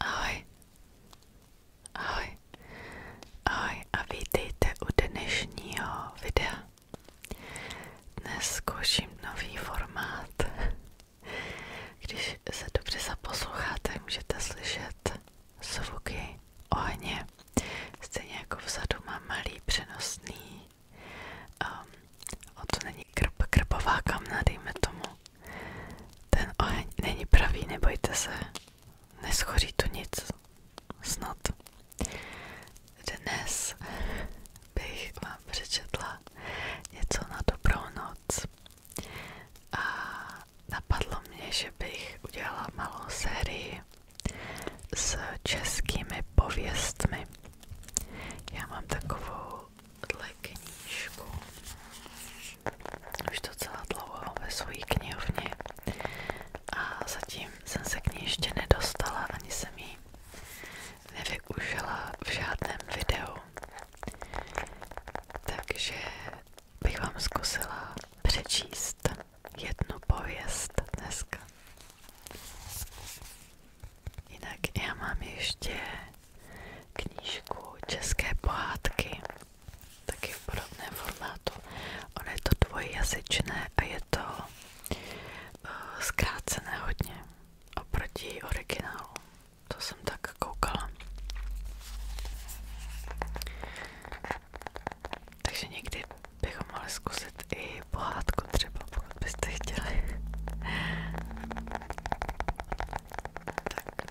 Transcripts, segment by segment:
Ahoj, ahoj, ahoj a vítejte u dnešního videa. nový formát. Když se dobře zaposloucháte, můžete slyšet zvuky ohně. Stejně jako vzadu mám malý přenosný, um, to není krb, krbová dejme tomu. Ten oheň není pravý, nebojte se. Neschoří tu nic. Snad. Dnes bych vám přečetla něco na dobrou noc. A napadlo mě, že bych udělala malou sérii s českými pověstmi. Já mám takovou tuhle knížku. Už docela dlouho ve své knihovně a zatím jsem se k nedostala, ani jsem ji nevyužila v žádném videu. Takže bych vám zkusila přečíst jednu pověst dneska. Jinak já mám ještě knížku České pohádky, taky v podobném formátu. Ono je to dvojjazyčné a je to uh, zkrácené hodně oproti originálu. To jsem tak koukala. Takže někdy bychom mohli zkusit i pohádku třeba, pokud byste chtěli. tak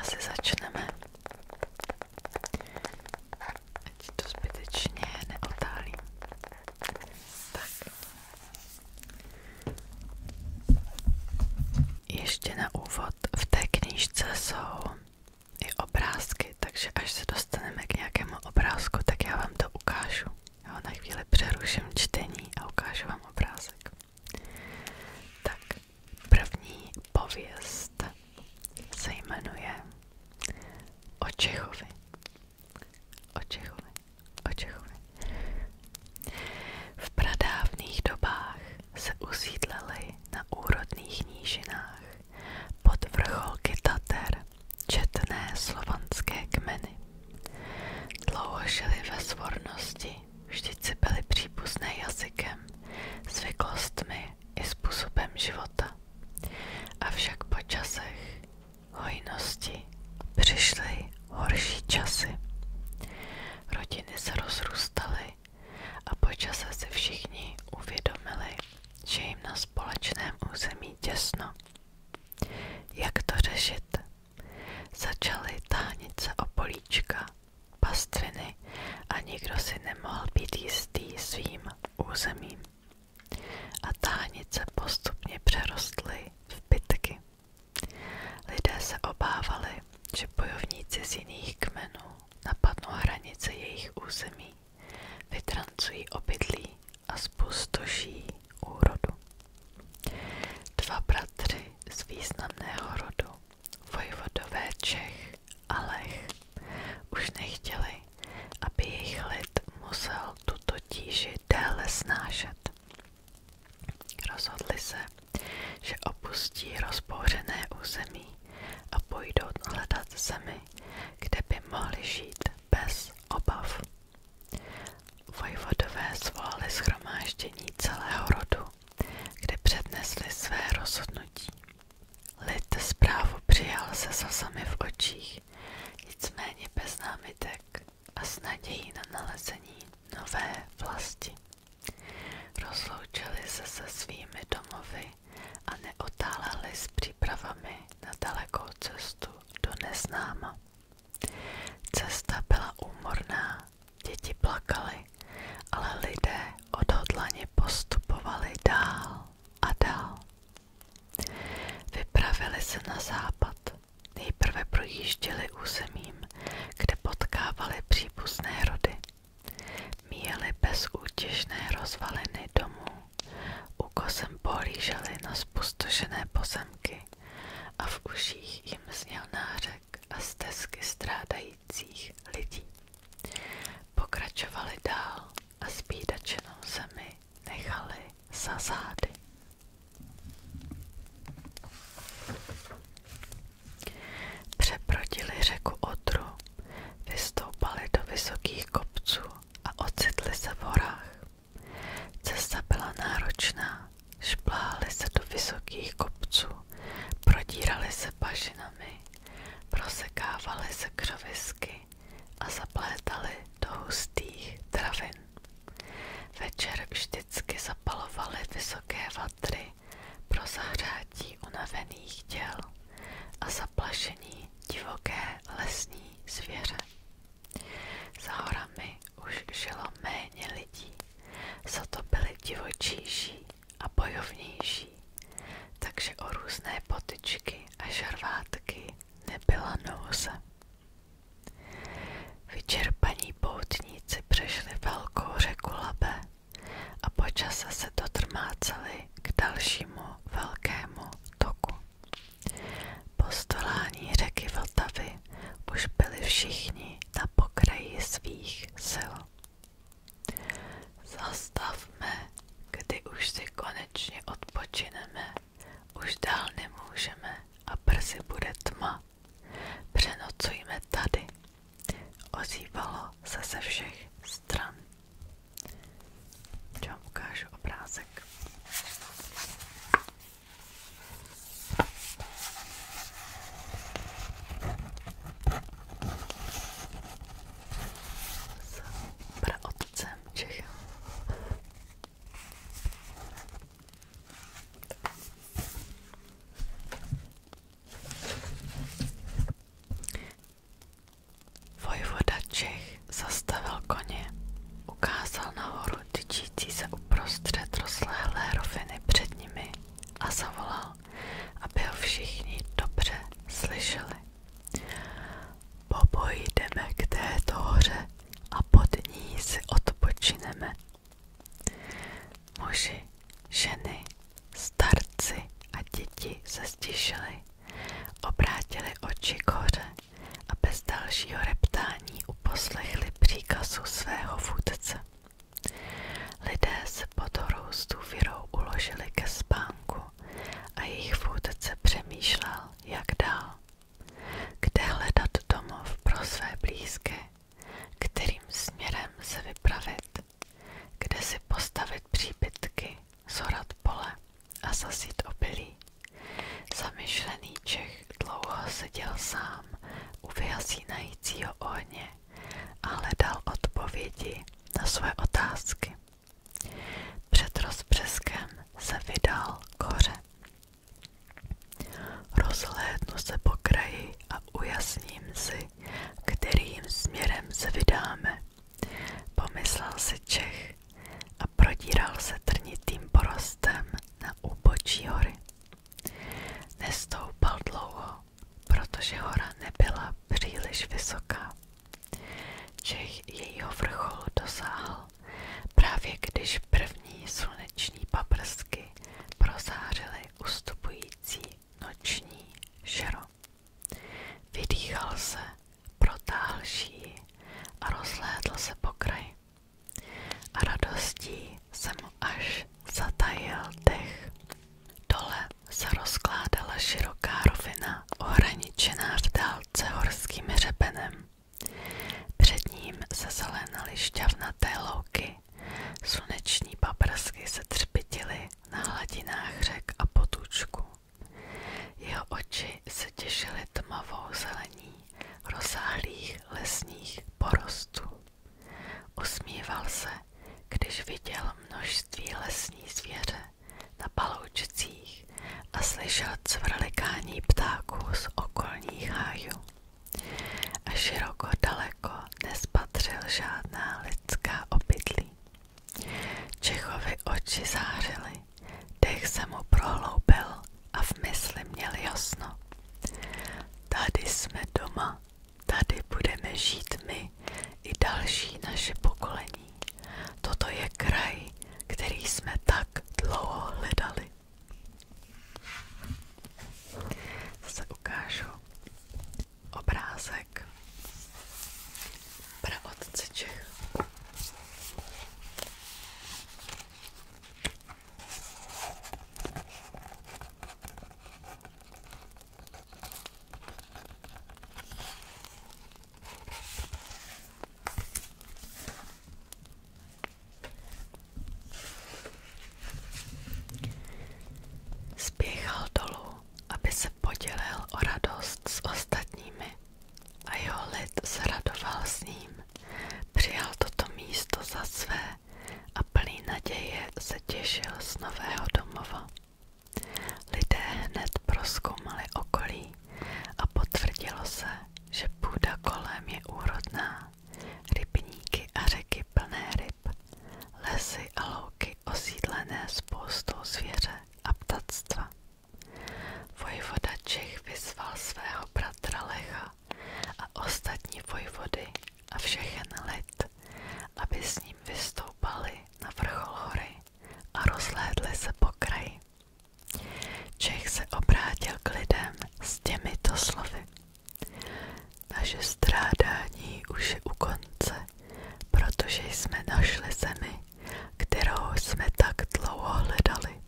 asi začneme. Ať to zbytečně neotálím. Tak. Ještě na úvod v té knížce jsou i obrázky, takže až se dostaneme k nějakému obrázku, tak já vám to ukážu. Jo, na chvíli přeruším čtení a ukážu vám obrázek. Tak první pověst se jmenuje O Čechovi. V pradávných dobách se usídlili na úrodných nížinách pod vrcholky Tater četné slovanské kmeny. Dlouho žili ve svornosti Češi vždyť si byli příbuzné jazykem, zvyklostmi i způsobem života. Avšak po časech hojnosti přišly horší časy. Rodiny se rozrůstaly a po čase si všichni uvědomili, že jim na společném území těsno. Jak to řešit? Začaly táhnit se o políčka, pastviny a nikdo si nemohl být jistý svým územím. A táhnice postupně přerostly v pitky. Lidé se obávali, že bojovníci z jiných kmenů napadnou hranice jejich území, vytrancují obydlí a spustoší úrodu. Dva bratři z rodu, vojvodové Čech už nechtěli, aby jejich lid musel tuto tíži déle snášet. Rozhodli se, že opustí rozbouřené území a půjdou hledat zemi, kde by mohli žít bez obav. Vojvodové svolali schromáždění celého rodu kde přednesli své rozhodnutí. Lid zprávu přijal se slzami v očích, nicméně bez námitek a s nadějí na nalezení nové vlasti. Rozloučili se se svými domovy a neotáleli s přípravami na dalekou cestu do neznáma. Cesta byla úmorná, děti plakaly, ale lidé odhodlaně postupovali dál a dál. Vypravili se na západ. Nejprve projížděli územím, kde potkávali příbuzné rody. Míjeli bezútěšné rozvaliny domů, ukosem pohlíželi na spustošené pozemky a v uších jim zněl nářek uliček a stezky strádajících lidí. Pokračovali dál a spídače na zemi nechali za zády. Přeprodili řeku Odru, vystoupali do vysokých kopců a ocitli se v horách. Cesta byla náročná Šplály se do vysokých kopců, prodíraly se pažinami, prosekávaly se křovisky a zaplétaly do hustých travin. Večer vždycky zapalovaly vysoké vatry pro zahřátí unavených těl a zaplašení divoké lesní zvěře. Za horami už žilo méně lidí, za to byly divočejší a bojovnější, takže o různé potyčky a žarvátky nebyla nouze. Vyčerpaní poutníci přešli velkou řeku Labe a počase se dotrmáceli k dalšímu velkému toku. Po stolání řeky Vltavy už byli všichni na pokraji svých sil. Zastavme, kdy už si konečně odpočineme, už dál nemůžeme a brzy bude tma. Přenocujme tady, ozývalo se ze všech stran. Já vám ukážu obrázek. S praotcem Čechem. Vojvoda Čech zastavil koně, ukázal nahoru tyčící se uprostřed rozlehlé roviny před nimi a zavolal, aby ho všichni dobře slyšeli. Popojdeme k této hoře a pod ní si odpočineme. Muži, ženy, starci a děti se stišili, obrátili oči k hoře a bez dalšího reptání uposlechli příkazu svého vůdce. Lidé se pod horoustou virou uložili ke a jejich vůdce přemýšlel, jak dál. Kde hledat domov pro své blízké, kterým směrem se vypravit, kde si postavit příbytky, zorat pole a zasít obilí. Zamyšlený Čech dlouho seděl sám u vyhasínajícího ohně mě a hledal odpovědi na své otázky. Před rozbřeskem se vydal koře. Rozhlédnu se po kraji a ujasním si, kterým směrem se vydáme. Pomyslel si Čech a prodíral se trnitým porostem na úbočí hory. Nestoupal dlouho, protože hora nebyla příliš vysoká. Čech jejího vrchol dosáhl právě když první sluneční paprsky prozářily ustupující noční šero. Vydýchal se, protáhl šíji a rozhlédl se po kraji. A radostí se mu až zatajil dech. Dole se rozkládala široká rovina, ohraničená v dálce horským hřebenem. Před ním se zelenaly šťavnaté louky, sluneční paprsky se třpitily na hladinách řek a potůčku. Jeho oči se těšily tmavou zelení rozsáhlých lesních porostů. Usmíval se, když viděl množství lesní zvěře na paloučcích a slyšel cvrlikání ptáků z okolních hájů. A široko daleko nespatřil žádná lidská obydlí. Čechovi oči zářily, dech se mu prohloubil a v mysli měl jasno. Tady jsme doma, Tady budeme žít my i další naše pokolení. Toto je kraj, který jsme tak dlouho hledali. Zase ukážu obrázek praotce Čech. Spěchal dolů, aby se podělil o radost s ostatními a jeho lid se radoval s ním. Přijal toto místo za své a plný naděje se těšil z nového domova. Lidé hned proskoumali okolí a potvrdilo se, že půda kolem je úrodná, rybníky a řeky plné ryb, lesy a louky osídlené spoustou zvěře a ptactva. Vojvoda Čech vyzval svého bratra Lecha, vojska a ostatní vojvody a všechen lid, aby s ním vystoupali na vrchol hory a rozhlédli se po kraji. Čech se obrátil k lidem s těmito slovy. Naše strádání už je u konce, protože jsme našli zemi, kterou jsme tak dlouho hledali.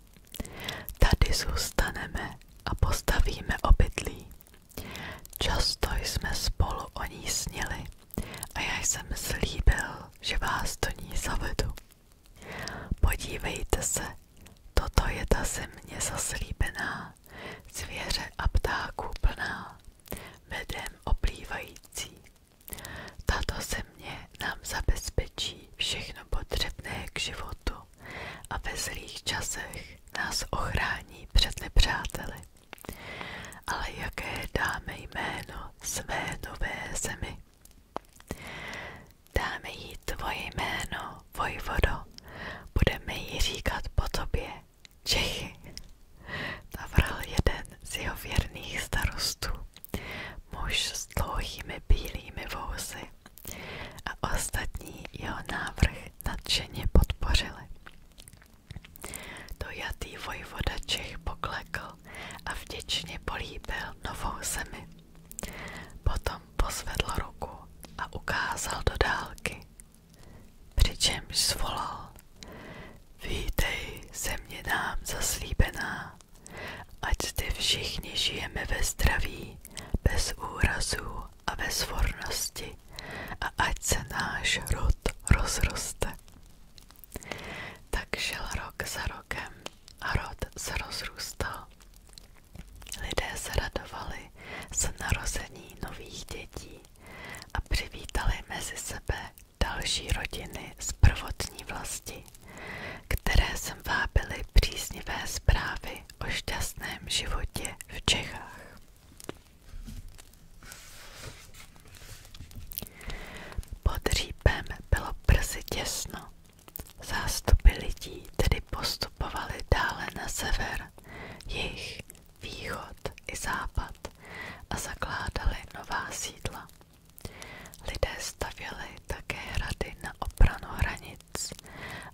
Tady zůstaneme a postavíme obydlí, Často jsme spolu o ní a já jsem slíbil, že vás do ní zavedu. Podívejte se, toto je ta země zaslíbená, zvěře a ptáků plná, medem oplývající. Tato země nám zabezpečí všechno potřebné k životu a ve zlých časech nás ochrání před nepřáteli. Ale jaké dáme jméno své nové zemi? Dáme jí tvoje jméno, Vojvodo, budeme jí říkat po tobě Čechy. Navral jeden z jeho věrných starostů, muž s dlouhými bílými vousy a ostatní jeho návrh nadšeně podpořili. Dojatý vojvoda Čech poklekl a vděčně políbil novou zemi. Potom pozvedl ruku a ukázal do dálky, přičemž zvolal. Vítej, země nám zaslíbená, ať ty všichni žijeme ve zdraví, bez úrazů a ve svornosti a ať se náš rod rozroste. Tak žil rok za rokem a rod se rozrůstal. Lidé se radovali z narození nových dětí a přivítali mezi sebe další rodiny z prvotní vlasti, které sem vábily příznivé zprávy o šťastném životě v Čechách. Pod řípem bylo brzy těsno. Zástupy lidí tedy postupovali dále na sever, jih, východ i západ a zakládali nová sídla. Lidé stavěli také hrady na obranu hranic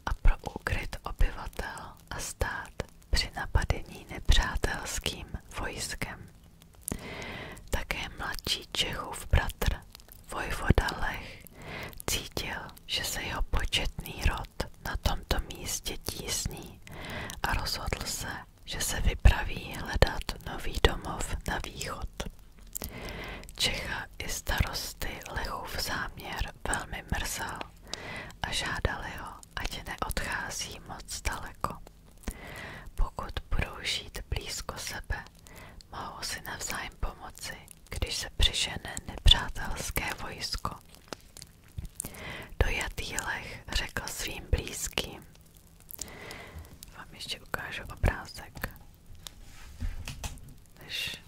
a pro úkryt obyvatel a stát při napadení nepřátelským vojskem. Také mladší Čechův bratr, vojvoda Lech, cítil, že se jeho početný rod na tomto místě tísní a rozhodl se, že se vypraví hledat nový domov na východ. Čecha i starosty Lechův záměr velmi mrzel a žádali ho, ať neodchází moc daleko. Pokud budou žít blízko sebe, mohou si navzájem pomoci, když se přižene nepřátelské vojsko. Dojatý lech řekl svým blízkým. Vám ještě ukážu obrázek, než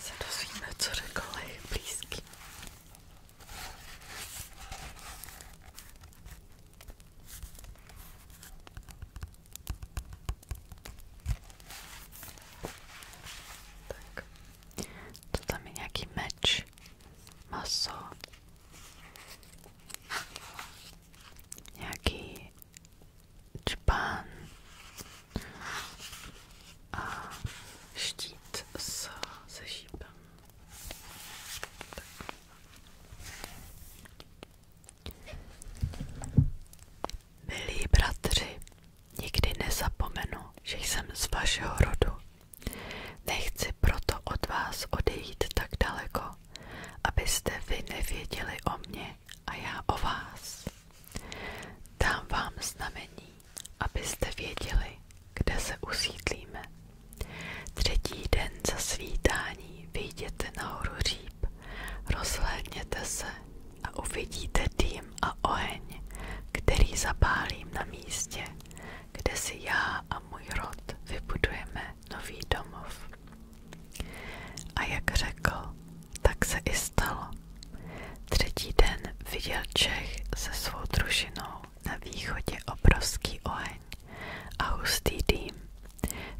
se dozvíme, co řekl její blízký. Tak, to tam je nějaký meč, maso, nějaký čpán, a štít s, se šípem. Tak. Milí bratři, nikdy nezapomenu, že jsem z vašeho rodu. Nechci proto od vás odejít tak daleko, abyste vy nevěděli o mně a já o vás. Dám vám znamení, abyste věděli, kde se usídlíme. Třetí den za svítání vyjděte nahoru říp, rozhlédněte se a uvidíte dým a oheň, který zapálím na místě, kde si já a můj rod vybudujeme nový domov. A jak řekl, tak se i stalo. Třetí den viděl Čech se svou družinou na východě obrovský oheň a hustý dým,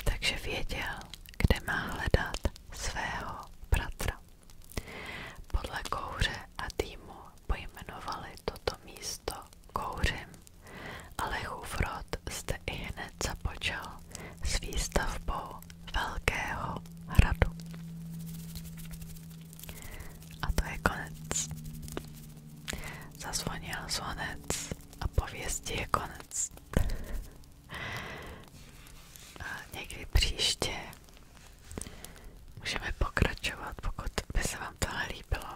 takže věděl, kde má hledat svého bratra. Podle kouře a dýmu pojmenovali toto místo kouřem, ale Chůvrod zde i hned započal s výstavbou velkého hradu. A to je konec. Zazvonil zvonec a pověstí je konec. A někdy příště můžeme pokračovat, pokud by se vám tohle líbilo.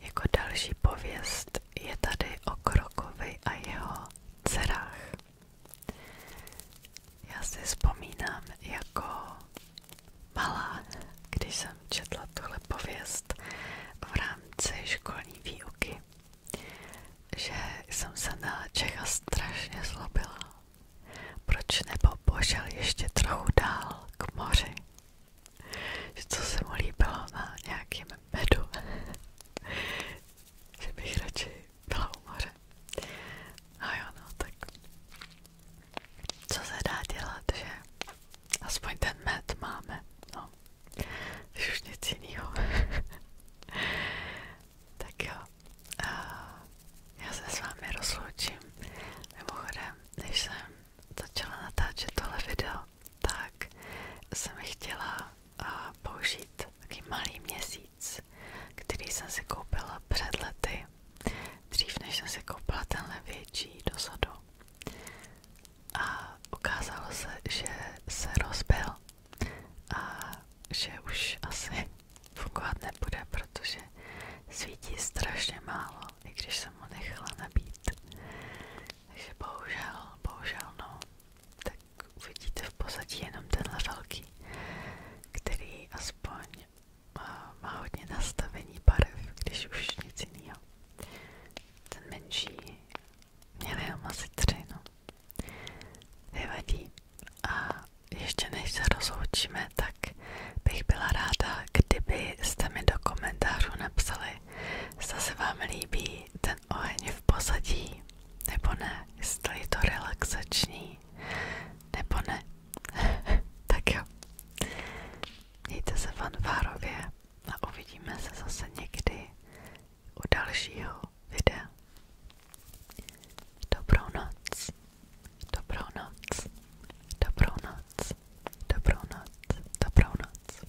Jako další pověst je tady o Krokovi a jeho dcerách. Já si vzpomínám jako malá, když jsem četla tuhle pověst v rámci školní výuky, že jsem se na Čecha strašně zlobila. Proč nebo pošel ještě trochu dál k moři? Že co se mu líbilo na nějakém medu? že bych radši byla u A jo, no, tak co se dá dělat, že aspoň ten med máme, no, když už nic jinýho. tak já se s vámi rozloučím. Mimochodem, než jsem začala natáčet tohle video, tak jsem chtěla použít takový malý měsíc Beats, který jsem si koupila před lety, dřív než jsem si koupila tenhle větší dozadu, A ukázalo se, že se rozbil a že už asi fungovat nebude, protože svítí strašně málo, i když jsem ho nechala nabít. Takže bohužel, bohužel no, tak uvidíte v pozadí jenom tenhle velký, který aspoň má, má nastavení barev, když už nic jiného. Ten menší měl jenom asi tři, no. Nevadí. A ještě než se rozloučíme, tak bych byla ráda, kdybyste mi do komentářů napsali, zda se vám líbí ten oheň v pozadí, nebo ne, jestli to relaxační, nebo ne? tak jo. Mějte se fanfárově a uvidíme se zase někdy u dalšího videa. Dobrou noc, dobrou noc, dobrou noc, dobrou noc, dobrou noc.